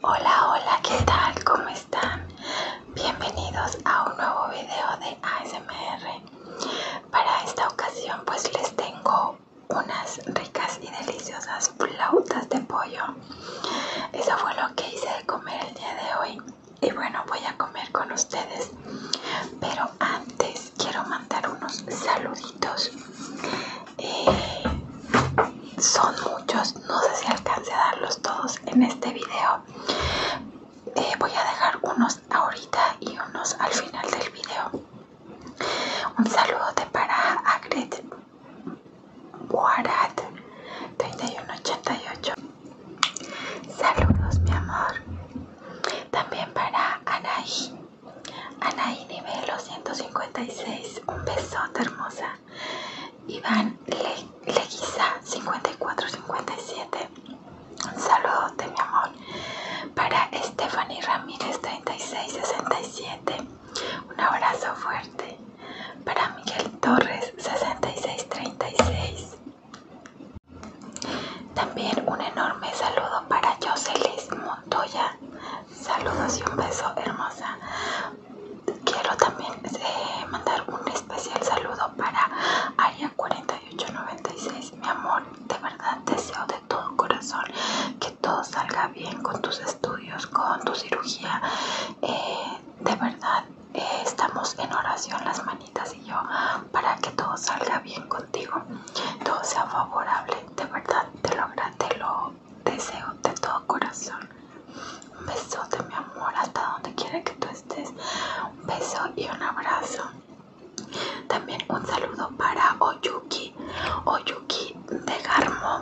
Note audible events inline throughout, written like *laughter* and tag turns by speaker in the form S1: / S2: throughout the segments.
S1: Hola, hola, ¿qué tal? ¿Cómo están? Bienvenidos a un nuevo video de ASMR. Para esta ocasión pues les tengo unas ricas y deliciosas flautas de pollo. Eso fue lo que hice de comer el día de hoy y bueno voy a comer con ustedes pero antes quiero mandar unos saluditos eh, son muchos no sé si alcance a darlos todos en este video eh, voy a dejar unos ahorita y unos al final del video un saludo de para Agret warad 3188 Saludos, mi amor. También para Anaí. Anaí Nivelo 156. Un besote, hermosa. Iván Le Leguiza 5457. Un saludote, mi amor. Para Stephanie Ramírez 3667. Un abrazo fuerte. Para Miguel Torres 6636. También un enorme saludo para Jocelys Montoya. Saludos y un beso, hermosa. Quiero también eh, mandar un especial saludo para Aria4896. Mi amor, de verdad deseo de todo corazón que todo salga bien con tus estudios, con tu cirugía. Eh, de verdad, estamos en oración las manitas y yo para que todo salga bien contigo, todo sea favorable, de verdad te lo, te lo deseo de todo corazón. Un besote mi amor, hasta donde quiera que tú estés, un beso y un abrazo. También un saludo para Oyuki, Oyuki de Garmo.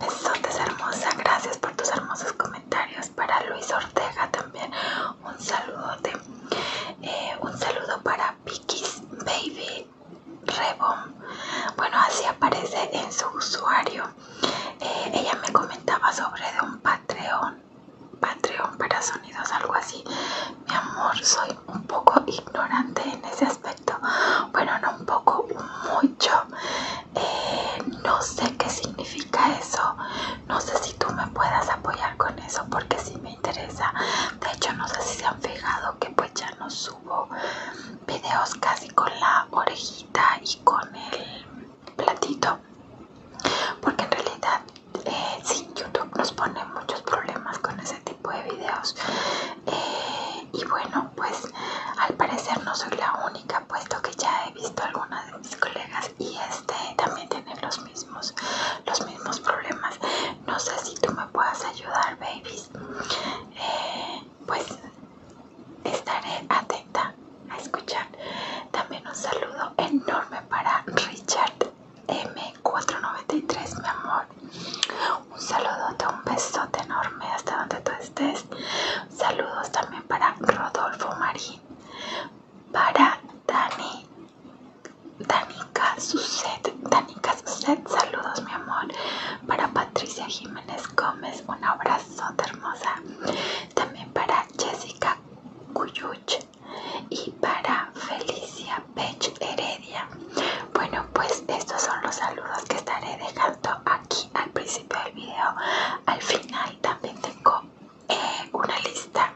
S1: Besotes hermosa, gracias por tus hermosos comentarios. Para Luis Ortega también un eh, un saludo para Piquis Baby Rebom bueno así aparece en su usuario eh, ella me comentaba sobre de un Patreon Patreon para sonidos algo así mi amor soy un poco ignorante en ese aspecto bueno no un poco mucho eh, no sé qué significa eso no sé si tú me puedas apoyar con eso porque sí me interesa. De hecho, no sé si se han fijado que pues ya no subo videos casi con la orejita y con el platito. Porque en realidad eh, sí, YouTube nos pone muchos problemas con ese tipo de videos. Eh, y bueno, pues al parecer no soy la única, puesto que ya he visto algunas de mis colegas y este también tiene los los mismos, los mismos problemas. No sé si tú me puedas ayudar, babies. Eh, pues estaré atenta a escuchar. También un saludo enorme para Richard M493, mi amor. Un saludote, un besote enorme hasta donde tú estés. Saludos también para Rodolfo Marín para Dani. Danica Suset, Danica Suset, saludos mi amor. Para Patricia Jiménez Gómez, un abrazo hermosa. También para Jessica Cuyuch y para Felicia Pech Heredia. Bueno, pues estos son los saludos que estaré dejando aquí al principio del video. Al final también tengo eh, una lista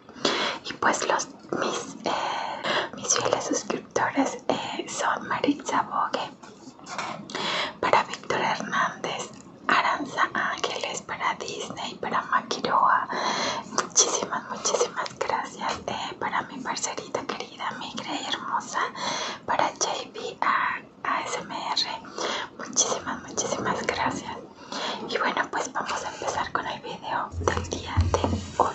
S1: y pues los mis, eh, mis fieles suscriptores eh, son Maritza Bogue para Víctor Hernández, Aranza Ángeles para Disney, para Maquiroa, muchísimas, muchísimas gracias para mi parcerita querida, mi y hermosa, para JB ASMR, muchísimas, muchísimas gracias. Y bueno, pues vamos a empezar con el video del día de hoy.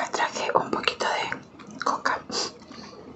S1: Me traje un poquito de coca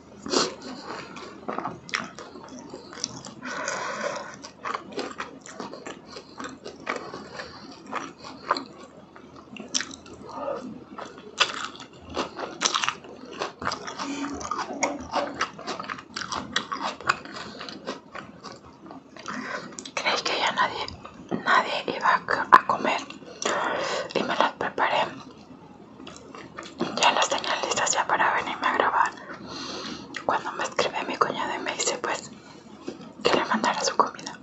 S1: ¿Creéis que ya nadie nadie iba a comer y me las preparé ya las tenía listos ya para venirme a grabar. Cuando me escribe mi cuñado y me dice pues que le mandara su comida.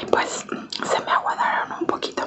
S1: Y pues se me aguadaron un poquito.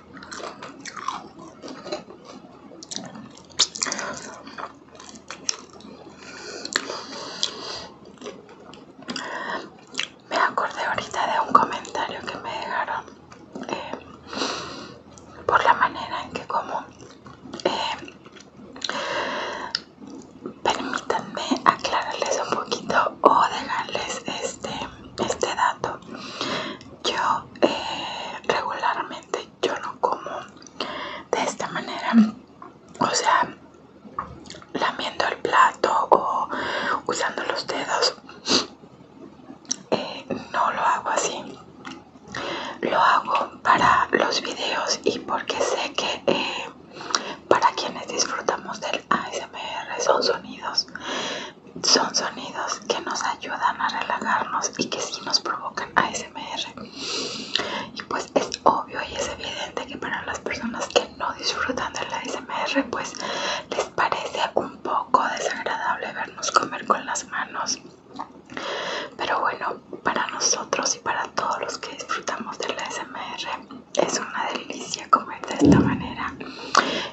S1: Me acordé ahorita de un comentario que me dejaron eh, por la manera en que como eh, permítanme aclararles un poquito o dejarles este este dato yo eh, regularmente yo no como de esta manera, o sea, lamiendo el plato o usando los dedos. Eh, no lo hago así. Lo hago para los videos y porque sé que eh, para quienes disfrutamos del ASMR son sonidos son sonidos que nos ayudan a relajarnos y que sí nos provocan ASMR. Y pues es obvio y es evidente que para las personas que no disfrutan de la ASMR, pues les parece un poco desagradable vernos comer con las manos. Pero bueno, para nosotros y para todos los que disfrutamos de la ASMR, es una delicia comer de esta manera,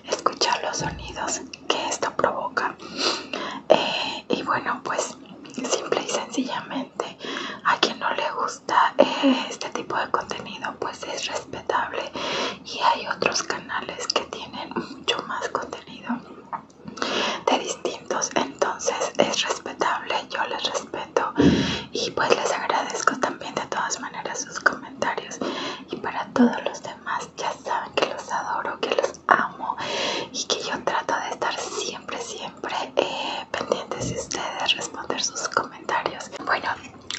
S1: escuchar los sonidos que esto provoca eh, y bueno pues simple y sencillamente a quien no le gusta eh, este tipo de contenido pues es respetable y hay otros canales que tienen mucho más contenido de distintos entonces es respetable yo les respeto y pues les agradezco también de todas maneras sus comentarios y para todos los demás ya saben que los adoro, que los amo y que yo trato de estar siempre, siempre eh, pendientes de ustedes, responder sus comentarios. Bueno,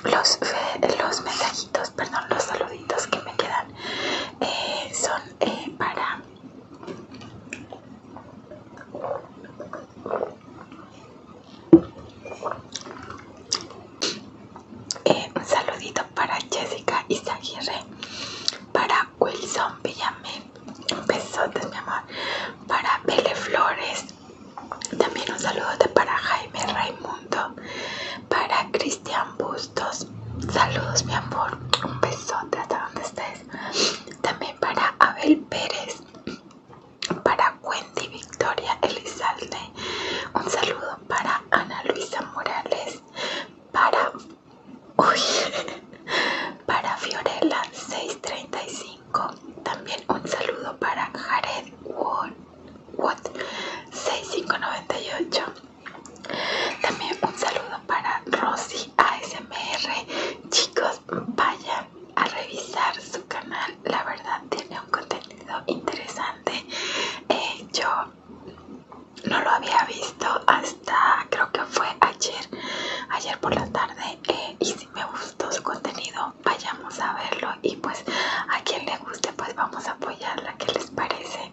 S1: los, eh, los mensajitos, perdón, los saluditos que me quedan eh, son para... Eh, un saludito para Jessica Isaguirre, para Wilson Un besote mi amor, para Pele Flores, también un saludo para Jaime Raimundo, para Cristian Bustos, saludos mi amor, un besote hasta donde estés, también para Abel Pérez, para Wendy Victoria Elizalde, un saludo para Ana Luisa Morales, para uy, *laughs* para Fiorella 635 también un saludo para Jared Watt 6598 también un saludo para Rosy ASMR chicos vayan a revisar su canal la verdad tiene un contenido interesante eh, yo no lo había visto hasta creo que fue ayer ayer por la tarde eh, y si me gustó su contenido vayamos a verlo y pues a quien le guste pues vamos a apoyarla que les parece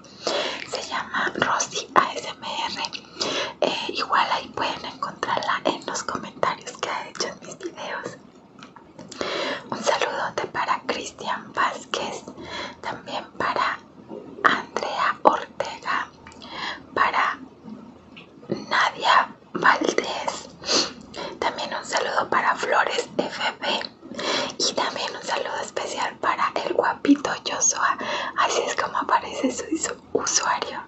S1: se llama Rosy ASMR eh, igual ahí pueden encontrarla en los comentarios que ha hecho en mis videos un saludote para Cristian Vázquez, también para Andrea Ortega, para Nadia Valdés, también un saludo para Flores FB y también un saludo especial para el guapito Joshua, así es como aparece su usuario.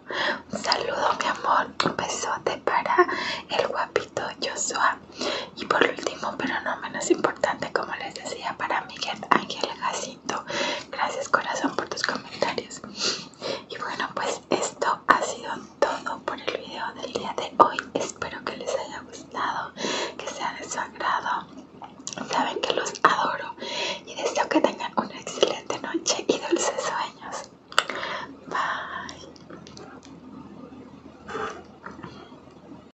S1: Un saludo mi amor, un besote para el guapito Joshua. Y por último, pero no menos importante, como les decía, para Miguel Ángel Jacinto. Gracias corazón por tus comentarios. Y bueno, pues esto ha sido todo por el video del día de hoy. Espero que les haya gustado, que sea de su agrado. Saben que los adoro y deseo que tengan una excelente noche y dulces sueños. Bye.